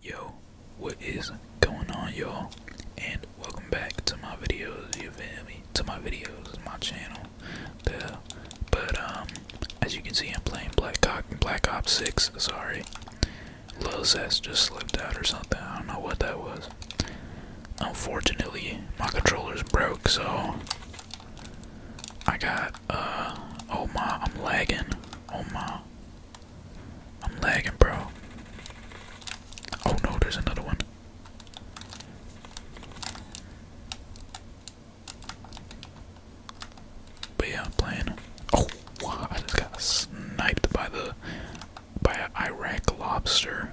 Yo, what is going on y'all? And welcome back to my videos, you feel To my videos, my channel. But um, as you can see I'm playing Black Cock and Black Ops 6, sorry. Lil Zest just slipped out or something. I don't know what that was. Unfortunately, my controller's broke, so I got uh, oh my I'm lagging. Oh my I'm lagging, bro. Oh no, there's another one. But yeah, I'm playing. Oh, I just got sniped by the by an Iraq lobster.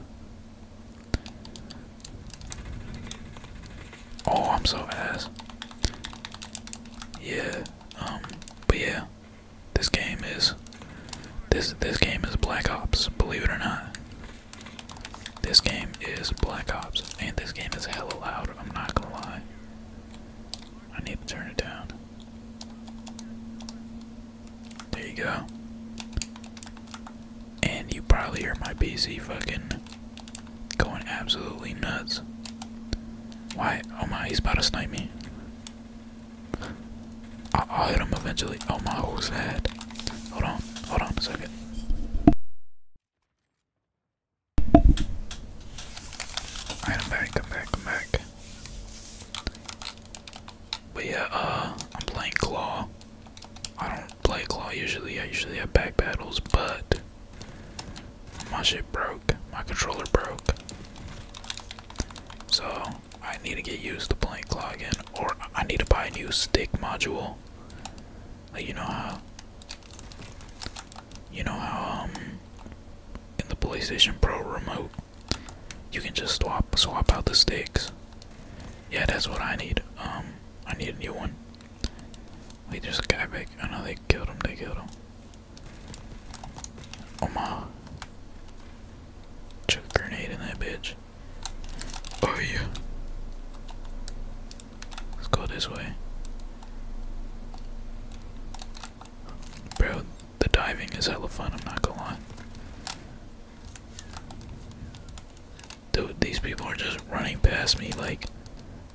Oh, I'm so ass. Yeah, um, but yeah, this game is this this game is Black Ops, believe it or not. This game is Black Ops, and this game is hella loud, I'm not gonna lie. I need to turn it down. There you go. And you probably hear my PC fucking going absolutely nuts. Why? Oh my, he's about to snipe me. I'll, hit him eventually. Oh, my who's head. Hold on, hold on second. Alright, I'm back, I'm back, i back. But yeah, uh, I'm playing Claw. I don't play Claw usually, I usually have back battles, but my shit broke. My controller broke. So I need to get used to playing Cloggin, or I need to buy a new stick module. you know how, you know how um, in the PlayStation Pro remote, you can just swap swap out the sticks. Yeah, that's what I need. Um, I need a new one. Wait, there's a guy back. I know they killed him. They killed him. Oh my. Chuck a grenade in that bitch. Oh yeah. Let's go this way. Bro, the diving is hella fun, I'm not gonna lie. Dude, these people are just running past me like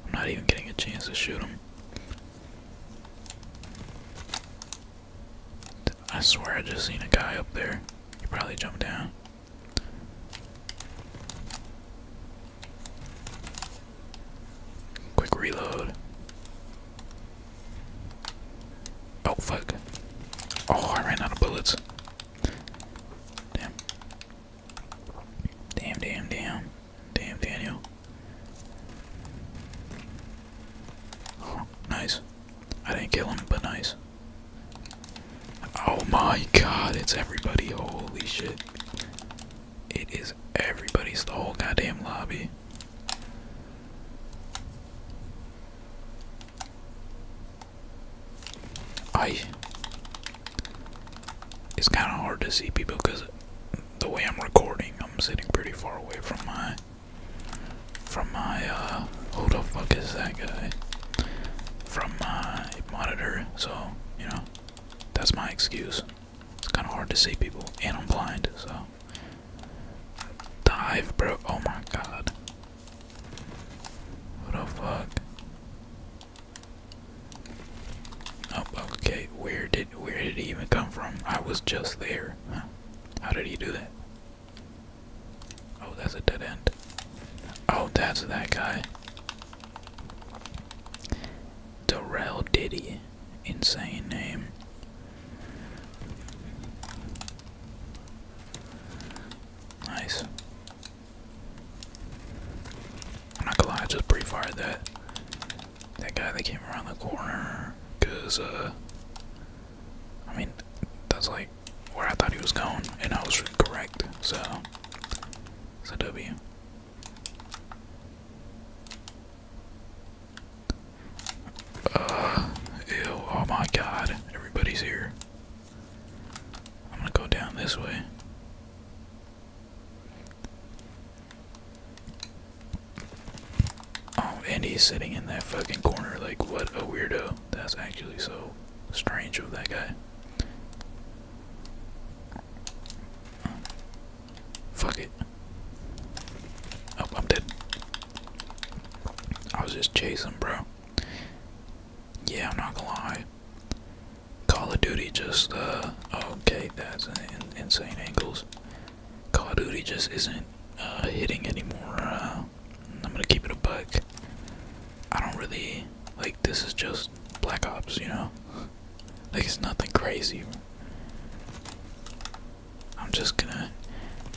I'm not even getting a chance to shoot them. I swear I just seen a guy up there. He probably jumped down. Quick reload. Oh fuck. Oh, I ran out of bullets. Damn. Damn, damn, damn. Damn, Daniel. nice. I didn't kill him, but nice. Oh my god, it's everybody. Holy shit. It is everybody's the whole goddamn lobby. I. It's kind of hard to see people because the way I'm recording, I'm sitting pretty far away from my from my uh who the fuck is that guy? From my monitor, so you know, that's my excuse. It's kinda hard to see people and I'm blind, so dive bro oh my god. What the fuck? Oh, okay, where did where did he even come from? I was just there. How did he do that? Oh, that's a dead end. Oh, that's that guy. Darrell Diddy. Insane name. Nice. I'm gonna just pre-fired that that guy that came around the corner, cause uh, I mean, that's like where I thought he was going, and I was correct. So, it's a W. Uh, ew! Oh my God! Everybody's here. I'm gonna go down this way. Oh, and he's sitting in that fucking corner like what a weirdo. That's actually so strange of that guy. Fuck it. Oh, I'm dead. I was just chasing, bro. Yeah, I'm not gonna lie. Call of Duty just, uh, oh, okay, that's insane angles. Call of Duty just isn't uh, hitting anymore. Uh, I'm gonna keep it a buck. I don't really like. This is just Black Ops, you know. Like it's nothing crazy. I'm just gonna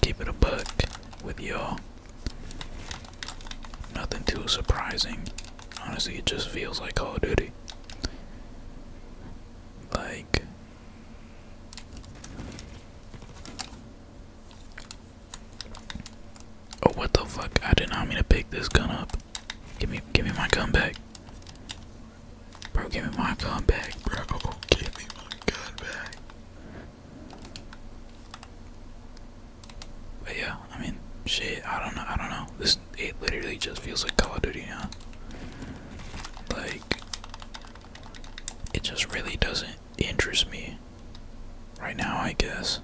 keep it a buck with y'all. Nothing too surprising. Honestly, it just feels like Call of Duty. Like Oh what the fuck! I did not mean to pick this gun up. Give me, give me my gun back, bro. Give me my gun back, bro. Give me my gun back. But yeah, I mean, shit. I don't know. I don't know. This it literally just feels like Call of Duty now. Like it just really doesn't interest me right now, I guess.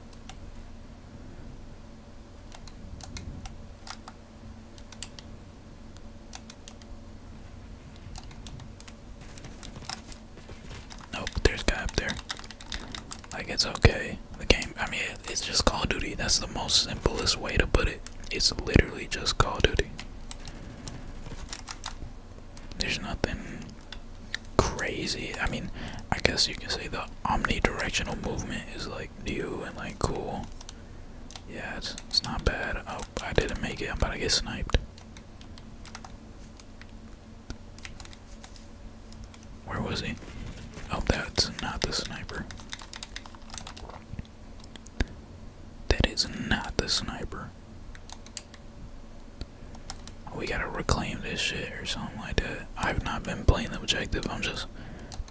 Nope, there's guy up there. Like it's okay. The game, I mean, it's just Call of Duty. That's the most simplest way to put it. It's literally just Call of Duty. There's nothing crazy. I mean, I guess you can say the omnidirectional movement is like new and like cool. Yeah, it's, it's not bad. Oh, I didn't make it. I'm about to get sniped. Where was he? Oh, that's not the sniper. That is not the sniper. We gotta reclaim this shit or something like that. I've not been playing the objective, I'm just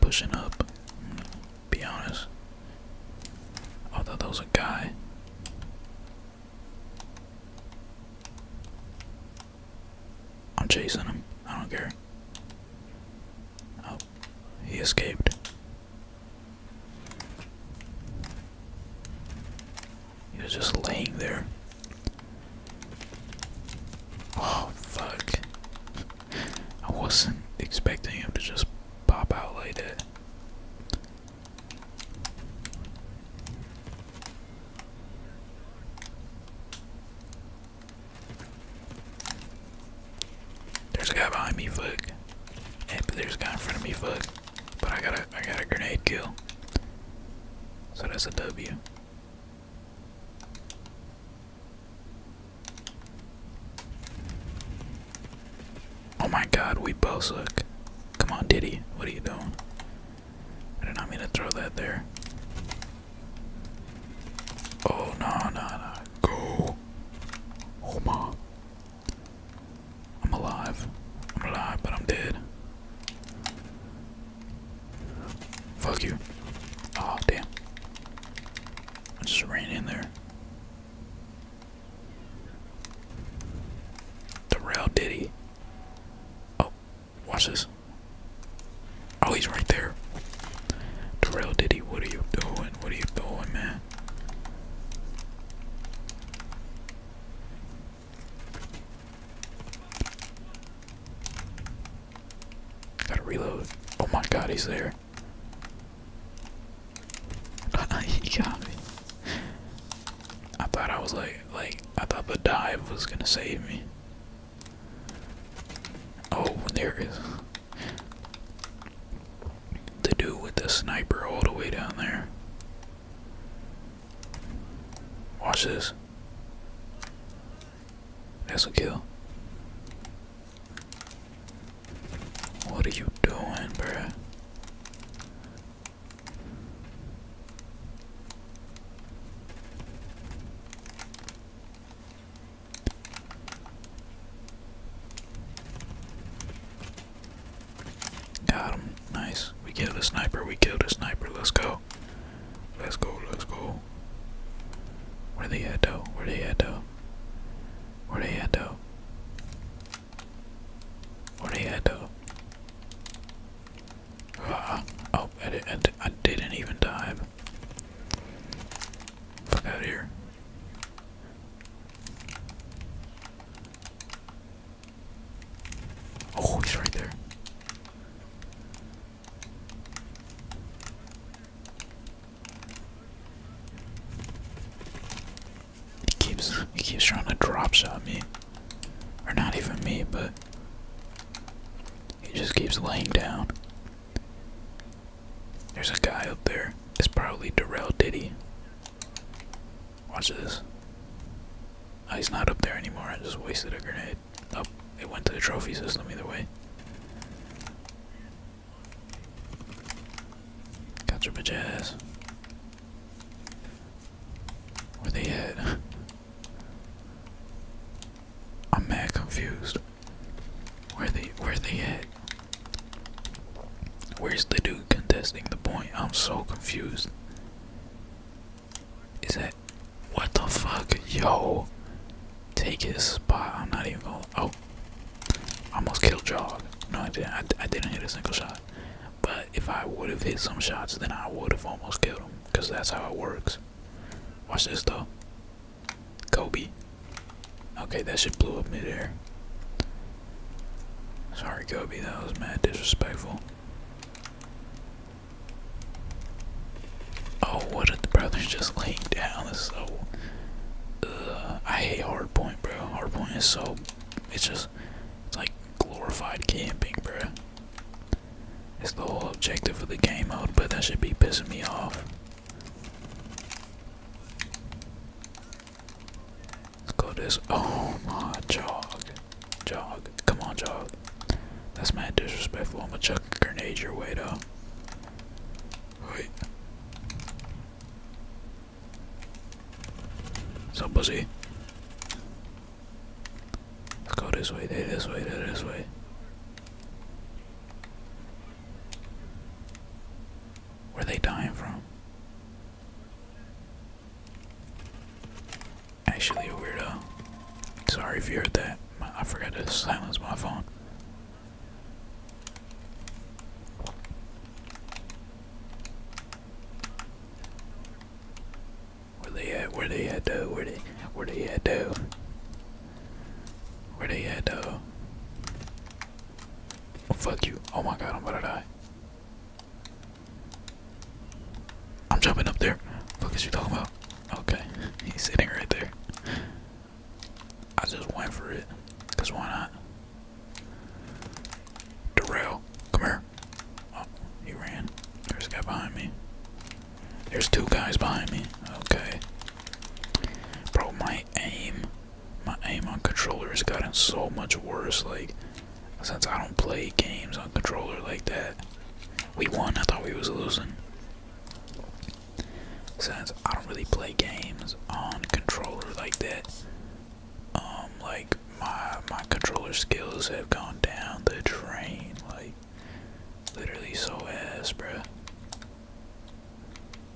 pushing up. Mm, be honest. I thought that was a guy. I'm chasing him. I don't care he escaped. He was just laying there. Oh, fuck. I wasn't expecting him to just pop out like that. There's a guy behind me, fuck. there's a guy in front of me, fuck. But I got a I got a grenade kill. So that's a W. Oh my god, we both suck. Come on, Diddy, what are you doing? did not mean to throw that there. Oh no no no go Oma I'm alive. I'm alive, but I'm dead. Fuck you. Oh, damn. I just ran in there. Darrell Diddy. Oh, watch this. Oh, he's right there. Darrell Diddy, what are you doing? What are you doing, man? Gotta reload. Oh my god, he's there. he got me. I thought I was like, like, I thought the dive was gonna save me. Oh, there it is. To do with the sniper all the way down there. Watch this. That's a kill. What are you doing, bruh? Got him. Nice. We killed a sniper. We killed a sniper. Let's go. Let's go. Let's go. Where the hell though? Where they at though? Where they at though? Where they at though? Uh, oh, I, did, I didn't even dive. Fuck out of here. Oh, he's right there. He keeps he keeps trying to dropshot me. Or not even me, but he just keeps laying down. There's a guy up there. It's probably Darrell Diddy. Watch this. Oh, he's not up there anymore. I just wasted a grenade. Oh, it went to the trophy system either way. got your ass. Where they at? I'm mad confused. Where they where they at? Where's the dude contesting the point? I'm so confused. Is that what the fuck? Yo, take his spot. I'm not even going. to Oh, almost killed Jog. No, I didn't. I didn't hit a single shot. But if I would have hit some shots, then I would have almost killed him. Cause that's how it works. Watch this though. Kobe, Okay, that should blow up midair. Sorry, Kobe, that was mad disrespectful. Oh, what if the brothers just lay down? It's so. Ugh, I hate Hardpoint, bro. Hardpoint is so. It's just. It's like glorified camping, bro. It's the whole objective of the game mode, but that should be pissing me off. Go this. Oh my jog. Jog. Come on, jog. That's mad disrespectful. I'm gonna chuck a grenade your way, though. Wait. So pussy. Let's go this way, this way, this way. Where are they dying from? Actually, a weirdo. Sorry if you heard that. I forgot to silence my phone. Where they at? Where they at though? Where they? Where they at though? Where they at though? fuck you! Oh my god, I'm about to die. I'm jumping up there. What is is you talking about? Okay, he's sitting right there. I just went for it, cause why not? Darrell, come here. Oh, he ran. There's a guy behind me. There's two guys behind me. Okay. broke my aim my aim on controller has gotten so much worse like since I don't play games on controller like that. We won, I thought we was losing. Since I don't really play games on controller like that. Um like my my controller skills have gone down the drain, like literally so ass, bruh.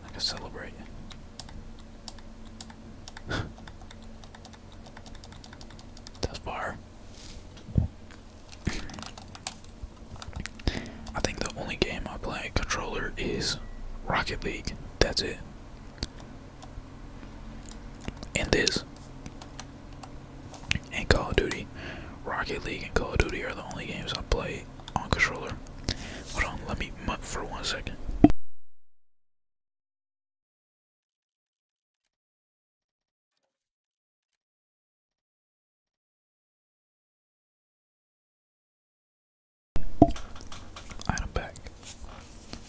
I can celebrate. Tough bar. I think the only game I play controller is Rocket League. That's it. And this. And Call of Duty. Rocket League and Call of Duty are the only games I play on controller. Hold on, let me mutt for one second. I'm back.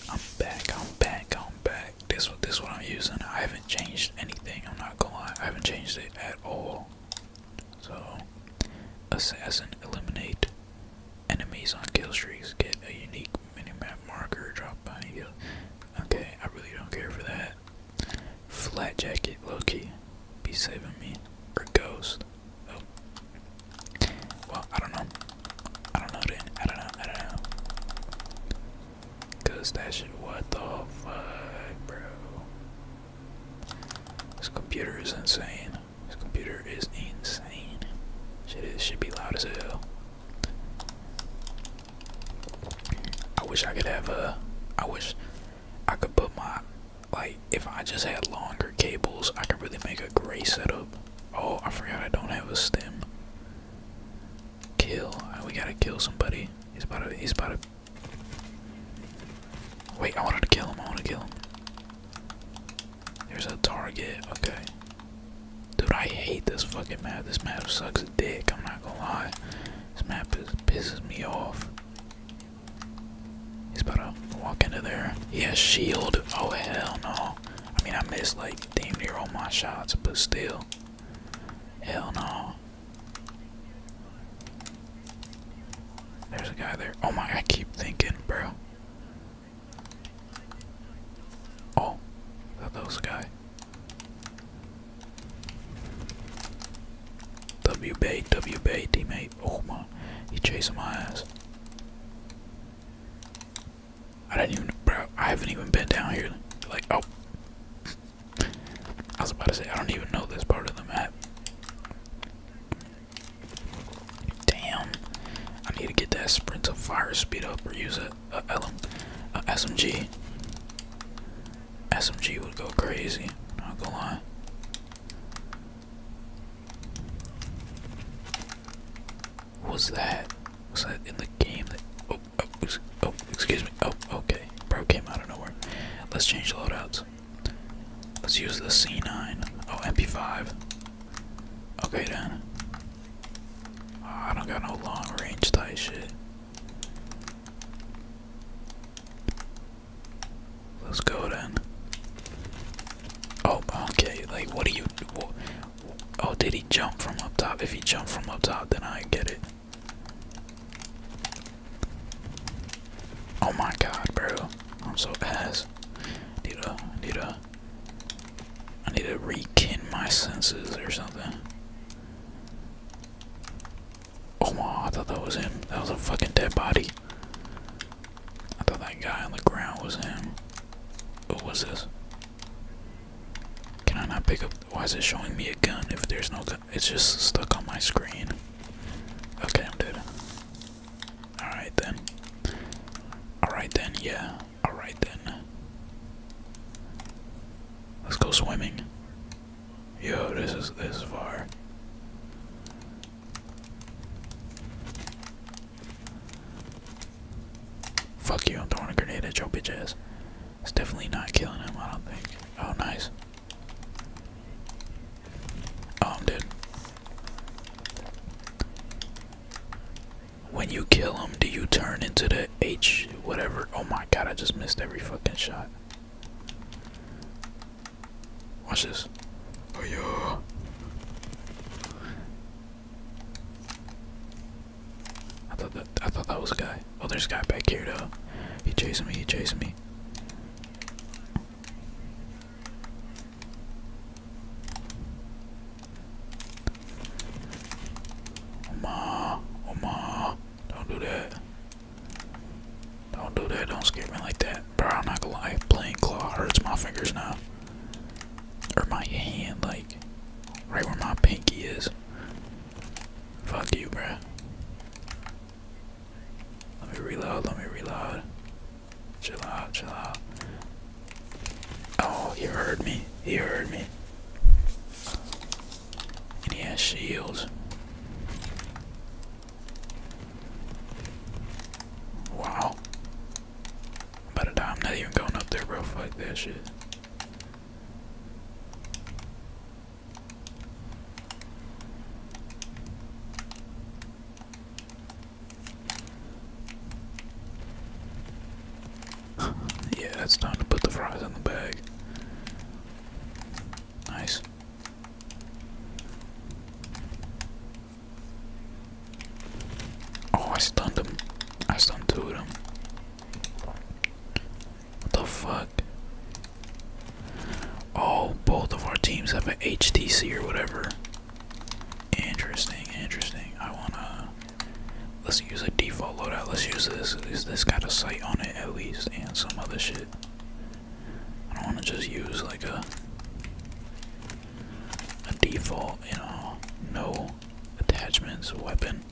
I'm back. I'm back. I'm back. This one. this one. I'm using. I haven't changed anything. I'm not gonna lie. I haven't changed it at all. So, assassin eliminate. Enemies on kill streaks get a unique minimap marker dropped by you. Okay, I really don't care for that. Flat jacket, Loki, be saving me. Or ghost. Oh. Well, I don't know. I don't know then. I don't know. I don't know. Cause that shit what the fuck, bro. This computer is insane. This computer is insane. Shit is should be loud as hell. I wish I could have a. I wish I could put my like if I just had longer cables, I could really make a gray setup. Oh, I forgot I don't have a stem. Kill. Oh, we gotta kill somebody. He's about to. He's about to. Wait, I wanted to kill him. I want to kill him. There's a target. Okay. Dude, I hate this fucking map. This map sucks a dick. I'm not gonna lie. This map is, pisses me off. He's about to walk into there. He has shield. Oh, hell no. I mean, I missed like damn near all my shots, but still. Hell no. There's a guy there. Oh my, I keep thinking, bro. Oh, that little guy. W bait, W bait, teammate. Oh man, he's chasing my ass. I didn't even, bro. I haven't even been down here. Like, oh, I was about to say I don't even know this part of the map. Damn. I need to get that sprint to fire speed up or use a, a, uh, uh, SMG. SMG would go crazy. Not gonna lie. What's that? Was that in the game? oh, oh, oh, excuse me. Oh, okay. Bro came out of nowhere. Let's change loadouts. Let's use the C9. Oh, MP5. Okay then. I don't got no long range type shit. Let's go then. Oh, okay. Like, what do you? oh, did he jump from up top? If he jumped from up top, then I get it. Oh my god, bro! I'm so ass. Need a, I need to rekin my senses or something. Oh my, I thought that was him. That was a fucking dead body. I thought that guy on the ground was him. What was this? Can I not pick up? Why is it showing me a gun if there's no gun? It's just stuck on my screen. Okay, I'm dead. Alright then. Alright then, yeah. Alright then. Let's go swimming. Yo, this is this far. Fuck you, I'm throwing a grenade at your bitch It's definitely not killing him, I don't think. Oh, nice. Oh, I'm dead when you kill him, do you turn into the H whatever? Oh my god, I just missed every fucking shot. Watch this. Oh yeah. I thought that I thought that was a guy. Oh there's a guy back here though. He's chasing me, He's chasing me. Oma, Oma, don't do that. Don't do that, don't scare me like that. Bro, I'm not gonna lie, playing claw hurts my fingers now. Or my hand, like, right where my pinky is. Fuck you, bro. Let me reload, let me reload. Chill out, chill out. Oh, he heard me. He heard me. And he has shields. Wow. Better the I'm not even going up there, bro. Fuck that shit. yeah, it's time to put the fries in the bag. Nice. Oh, I stunned him. I stunned two of them. What the fuck? Oh, both of our teams have an HTC or whatever. Interesting, interesting. I wanna let's use a default loadout. Let's use this. At least this got a sight on it at least, and some other shit. I don't wanna just use like a a default, you know, no attachments weapon.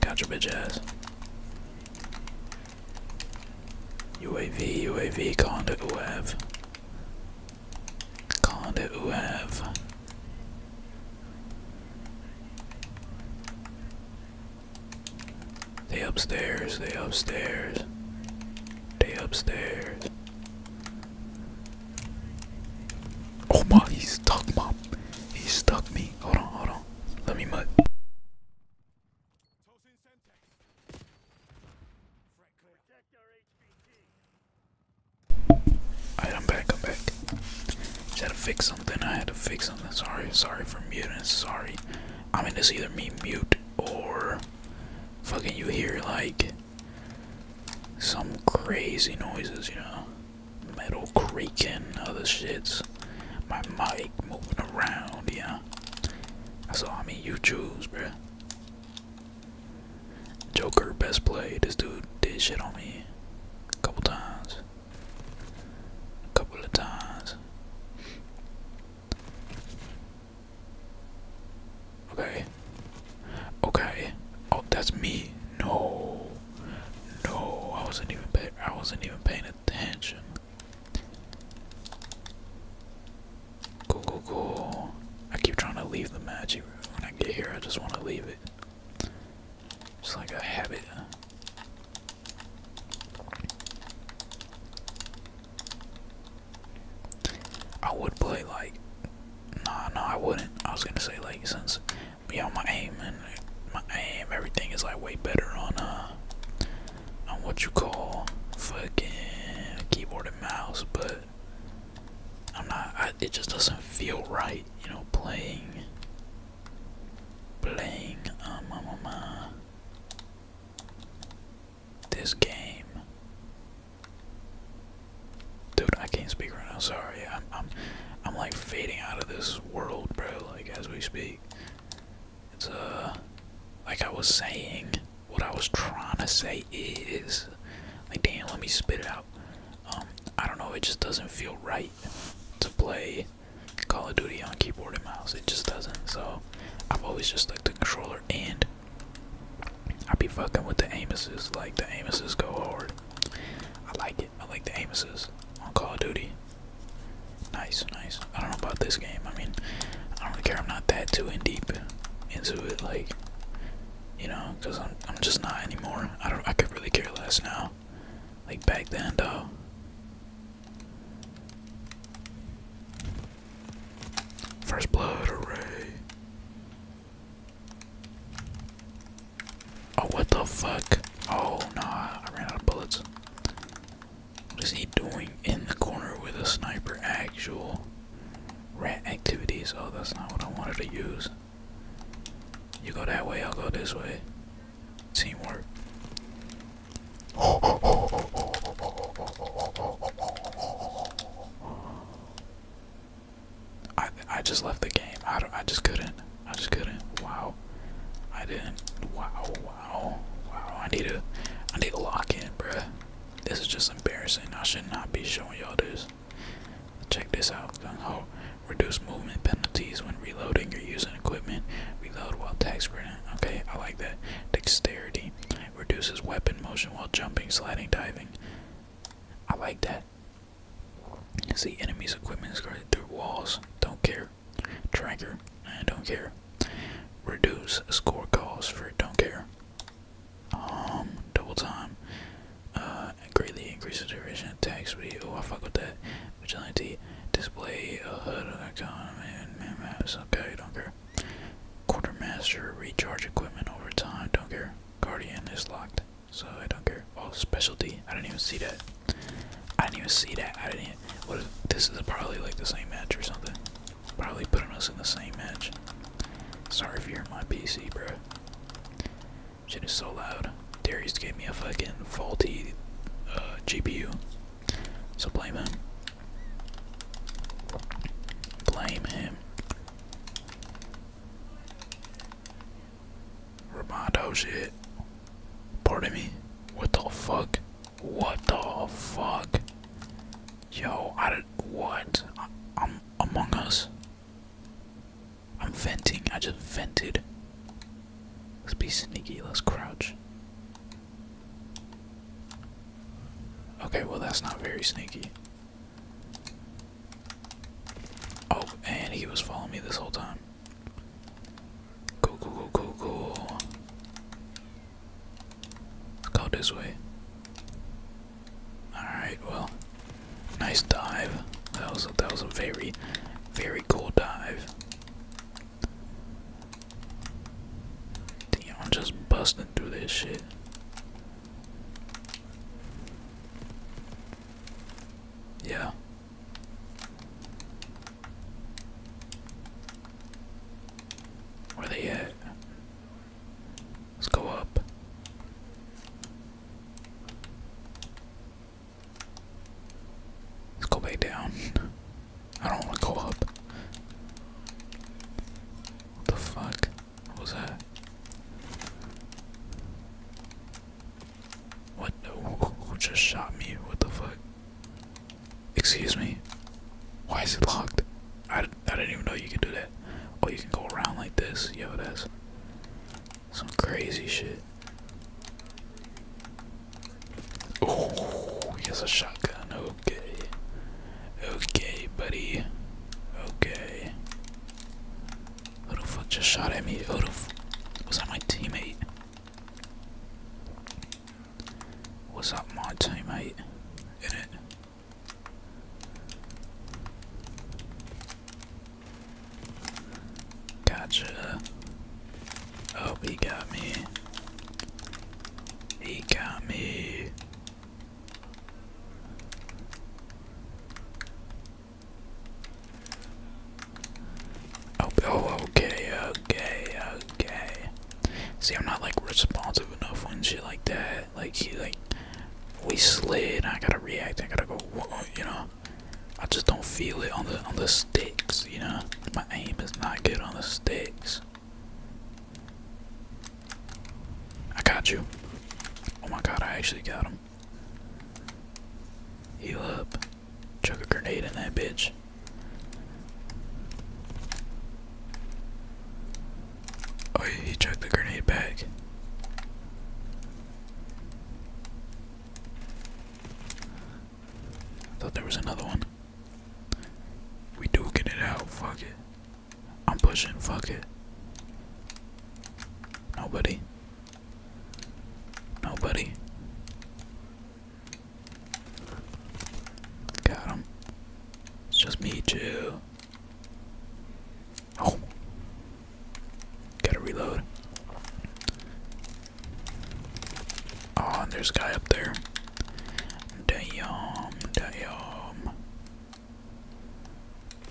Got your bitch ass. UAV, UAV, conduct UAV. Conda Uav. They upstairs, they upstairs, they upstairs. Oh my, he stuck mom. He stuck me. Hold on, hold on. Let me mud. I'm back, I'm back. Just had to fix something, I had to fix something. Sorry, sorry for muting, sorry. I mean, it's either me mute or fucking you hear like some crazy noises, you know? Metal creaking, other shits. My mic moving around, yeah. That's all I mean, you choose, bruh. Joker, best play. This dude did shit on me a couple times. A couple of times. Okay. Okay. Oh, that's me. No. No, I wasn't even pay I wasn't even paying attention. Cool, cool, I keep trying to leave the match. When I get here, I just want to leave it. Just like a habit. I would play like. Nah, no, I wouldn't. I was gonna say like since you know my aim and my aim, everything is like way better on uh on what you call fucking keyboard and mouse, but I'm not. it just doesn't feel right, you know, playing, playing um, um, um, uh, this game. Dude, I can't speak right now. Sorry, I'm, I'm, I'm like fading out of this world, bro. Like as we speak, it's uh, like I was saying what I was trying to say is, like, damn, let me spit it out. Um, I don't know, it just doesn't feel right to play Call of Duty on keyboard and mouse. It just doesn't. So I've always just liked the controller, and I be fucking with the Amuses. Like the Amuses go hard. I like it. I like the Amuses on Call of Duty. Nice, nice. I don't know about this game. I mean, I don't really care. I'm not that too in deep into it. Like you know, because I'm, I'm just not anymore. I don't, I could really care less now. Like back then, though. First blood, hooray. Oh, what the fuck? Oh, no, I ran out of bullets. What is he doing in the corner with a sniper actual? Rant activities. Oh, that's not what I wanted to use. You go that way, I'll go this way. Teamwork. I I just left the game. I don't, I just couldn't. I just couldn't. Wow. I didn't. Wow. Wow. Wow. I need to. I need to lock in, bruh. This is just embarrassing. I should not be showing y'all this. Check this out. reduce movement penalties when reloading or using equipment. Reload while tax grenade. Okay, I like that. Dexterity reduces weapon motion while jumping, sliding, diving. I like that. See enemies' equipment is guarded through walls. Don't care. Tracker. I don't care. Reduce score calls for don't care. Um, double time. Uh, greatly increases duration attack speed. Oh, I fuck with that. Vigilante. Display a hood of icon. Man, man, maps. Okay, don't care. Quartermaster. Recharge equipment over time. Don't care. Guardian is locked. So I don't care. Oh, specialty. I didn't even see that. I didn't even see that. I didn't. Even, this is probably like the same match or something. Probably putting us in the same match. Sorry if you're my PC, bro. Shit is so loud. Darius gave me a fucking faulty uh, GPU. So blame him. Blame him. Romano shit. Pardon me. What the fuck? What the fuck? Yo, I did what? I, I'm Among Us. I'm venting, I just vented. Let's be sneaky, let's crouch. Okay, well, that's not very sneaky. Oh, and he was following me this whole time. Cool, cool, cool, cool, cool. Let's go this way. Alright, well, nice dive. That was a, that was a very, very cool dive. Damn, I'm just busting through this shit. Yeah. Where they at? Let's go up. Let's go back down. I don't want to go up. What the fuck? What was that? What? Who just shot me? What the fuck? Excuse me? Why is it locked? I, I didn't even know you could do that. Oh, you can go around like this. Yo, that's some crazy shit. Oh, he has a shotgun. Okay. Okay, buddy. Okay. Who the fuck just shot at me? Who the fuck? was that my teammate? What's up, my teammate? In it. Gotcha. Oh, he got me. He got me. Oh, oh, okay, okay, okay. See, I'm not like responsive enough when shit like that. Like he like we slid. I gotta react. I gotta go. You know, I just don't feel it on the on the sticks. You know, my aim is not good on the sticks. I got you. Oh my god, I actually got him. You up. Chuck a grenade in that bitch. Oh, he chucked the grenade back. thought there was another one. We do get it out, fuck it. I'm pushing, fuck it. Nobody. Nobody. Got him. It's just me, too. Oh. Gotta reload. Oh, there's a guy up there. Damn, damn.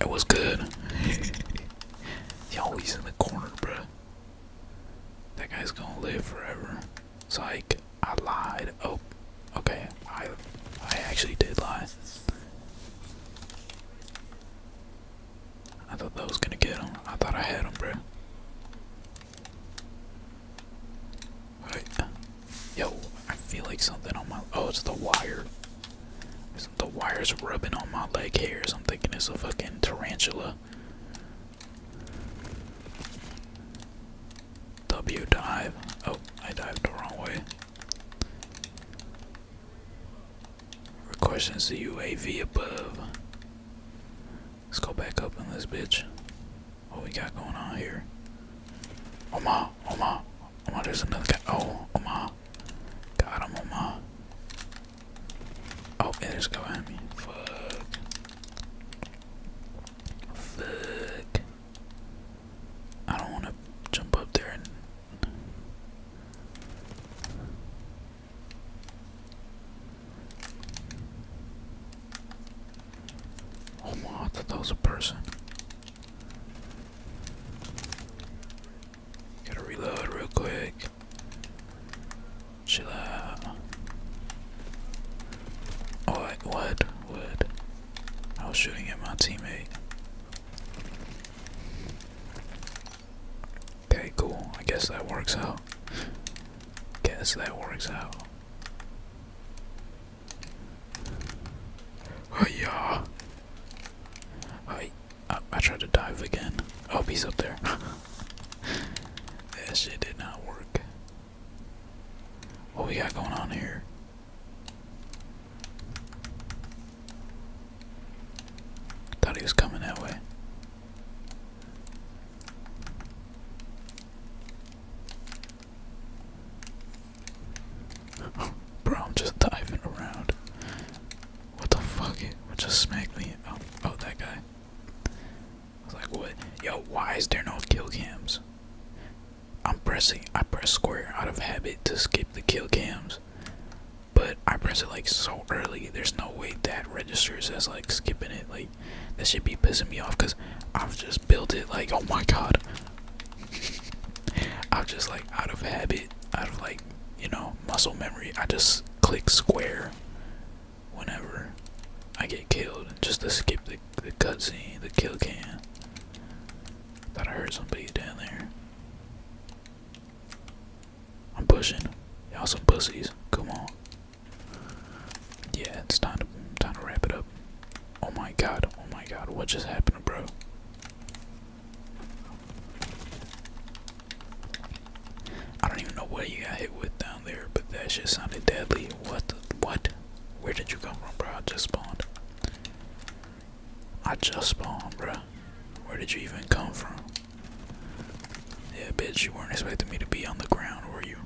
It was good. Yo, he's in the corner, bruh. That guy's gonna live forever. It's like I lied. Oh, okay. I I actually did lie. I thought that was gonna get him. I thought I had him, bro. Yo, I feel like something on my. Oh, it's the wire. It's the wire's rubbing on my leg hairs. I'm thinking it's a fucking tarantula. W dive. Oh, I dived the wrong way. Questions the UAV above. Let's go back up in this bitch. What we got going on here? Oh my, oh my, oh my, there's another guy. Oh, oh my. Got him, oh my. Oh, and there's guy behind me. Fuck. Fuck. I don't want to jump up there and Oh my, that was a person. Gotta reload real quick. Chill out. Oh, what? What? I was shooting at my teammate. Okay, cool. I guess that works out. Guess that works out. Oh yeah. I oh, I tried to dive again. Oh, he's up there. that shit did not work. What we got going on here? Thought he was coming that way. Bro, I'm just diving around. What the fuck? It just smacked me. Oh, oh, that guy. I was like, what? Yo, why is there no kill cams? I'm pressing, I press square out of habit to skip the kill cams. But I press it like so early. There's no way that registers as like skipping it. Like that should be pissing me off because I've just built it like oh my god. I've just like out of habit, out of like you know muscle memory. I just click square whenever I get killed just to skip the the cutscene, the kill can. Thought I heard somebody down there. I'm pushing. Y'all some pussies. Come on. Yeah, it's time to time to wrap it up. Oh my god, oh my god, what just happened, bro? I don't even know what you got hit with down there, but that shit sounded deadly. What the, what? Where did you come from, bro? I just spawned. I just spawned, bruh. Where did you even come from? Yeah, bitch, you weren't expecting me to be on the ground, were you?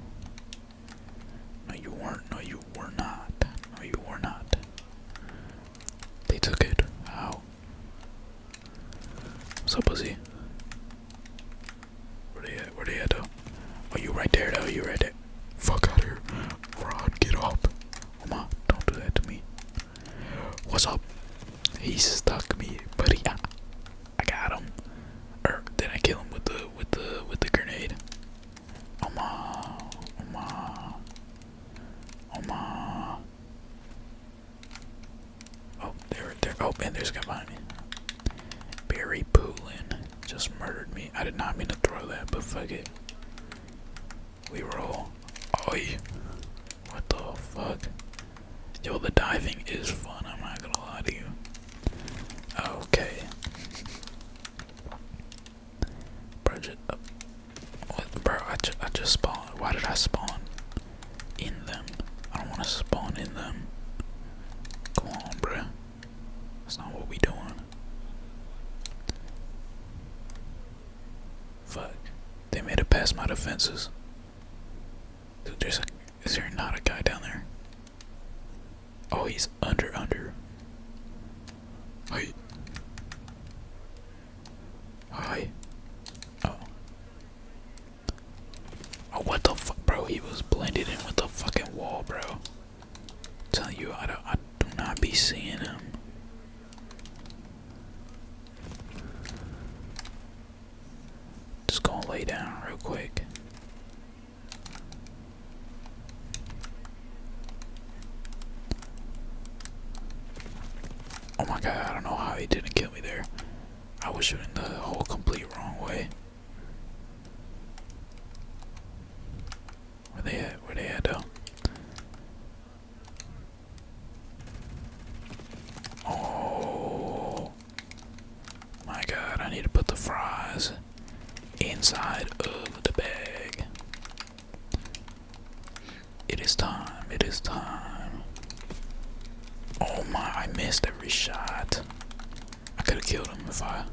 No, you weren't. No, you were not. No, you were not. They took it. How? What's up, pussy? Where they at? Where they at, though? Oh, you right there, though. You right there. Fuck out of here. Rod, get up. Come on, don't do that to me. What's up? He stuck me, but yeah, I got him. Or did I kill him with the with the with the grenade? Oh uh, my, oh uh, my, oh uh, my. Oh, there, there. Oh, and there's a guy behind me. Barry Poulin just murdered me. I did not mean to throw that, but fuck it. We roll. Oi. What the fuck? Yo, the diving is fun, I'm not gonna lie to you. Okay. Bridget uh, bro, I, ju I just spawned. Why did I spawn in them? I don't want to spawn in them. Come on, bruh. That's not what we doing. Fuck. They made it past my defenses. Dude, there's a. Is there not a guy down there? Oh, he's under, under. Hi. Hi. Oh. Oh, what the fuck, bro? He was blended in with the fucking wall, bro. i telling you, I, don't, I do not be seeing him. Just gonna lay down real quick. Oh my god, I don't know how he didn't kill me there. I was shooting the whole complete wrong way. Where they at? Where they at though? Oh my god, I need to put the fries inside of the bag. It is time, it is time. Oh my, I missed every shot. I could have killed him if I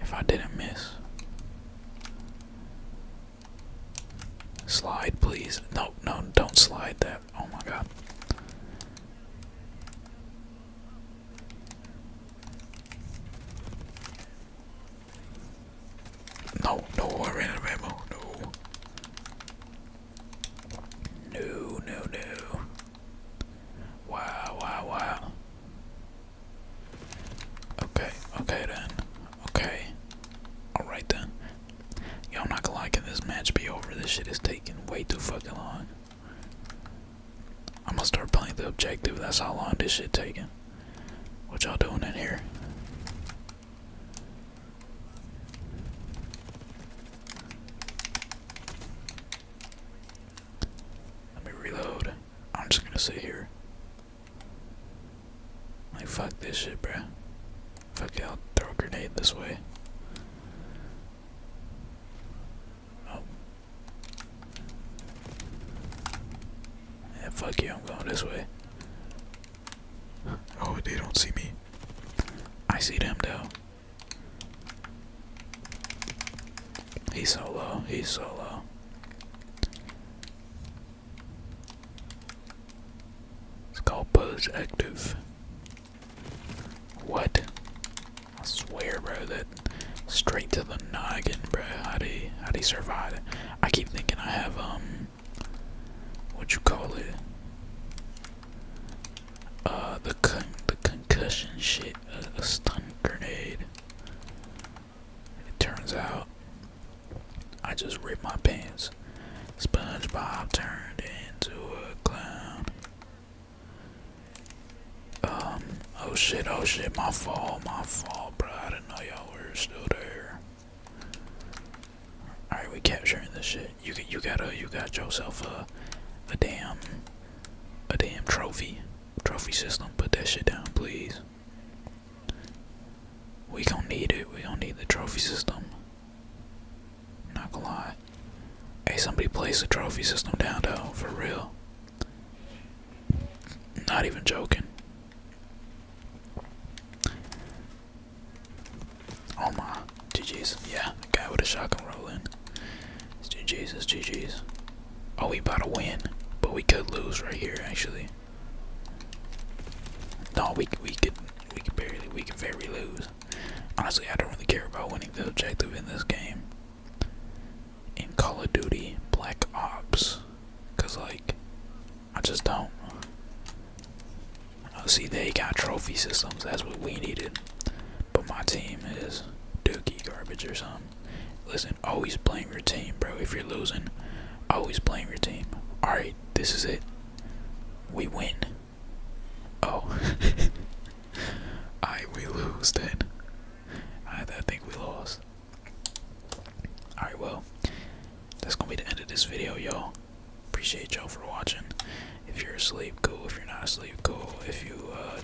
if I didn't miss. Slide, please. No, no, don't slide that. Oh my god. No, no, I ran No. No, no, no. Wow, wow, wow. Okay, okay then. Okay. Alright then. Yo, I'm not gonna like can this match be over? This shit is taking way too fucking long. I'm gonna start playing the objective. That's how long this shit taking. What y'all doing in here? Let me reload. I'm just gonna sit here. Like, fuck this shit, bro. Fuck you! I'll throw a grenade this way. Oh. Yeah, fuck you, I'm going this way. Oh, they don't see me. I see them, though. He's so low, he's so low. It's called Buzz Active. What? I swear, bro, that straight to the noggin, bro. How do you, how do you survive it? I keep thinking I have um, what you call it? Uh, the con the concussion shit, a stun grenade. It turns out I just ripped my pants. SpongeBob turned into a clown. Um, oh shit, oh shit, my fault, my fault, bro. I didn't know y'all were still there. Alright, we capturing this shit. You you gotta you got yourself a a damn a damn trophy. Trophy system. Put that shit down, please. We don't need it. We don't need the trophy system. Not gonna lie. Hey, somebody place the trophy system down though, for real. Not even joking. Oh my, GG's. Yeah, guy with a shotgun rolling. It's GG's, it's GG's. Oh, we about to win, but we could lose right here actually. No, we we could we could barely we can very lose. Honestly, I don't really care about winning the objective in this game. In Call of Duty Black Ops, cause like I just don't. Oh, see, they got trophy systems. That's what we needed. But my team is dookie garbage or something. Listen, always blame your team, bro. If you're losing, always blame your team. Alright, this is it. We win. Oh. I we lose then. I, think we lost. Alright, well, that's gonna be the end of this video, y'all. Appreciate y'all for watching. If you're asleep, cool. If you're not asleep, cool. If you uh,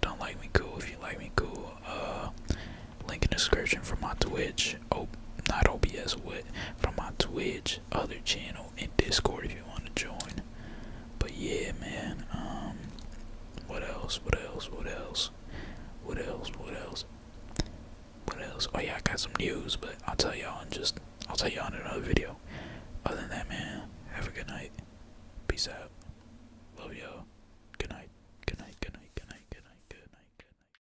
don't like me, cool. If you like me, cool. Uh, link in description for my Twitch. Oh, not OBS, what? From my Twitch, other channel, and Discord if you want to join. But yeah, man. Um, what else? What else? What else? What else? What else? What else? Oh yeah, I got some news, but I'll tell y'all in just. I'll tell y'all in another video. Other than that, man, have a good night. Peace out. Love y'all. Good night. Good night. Good night. Good night. Good night. Good night. Good night.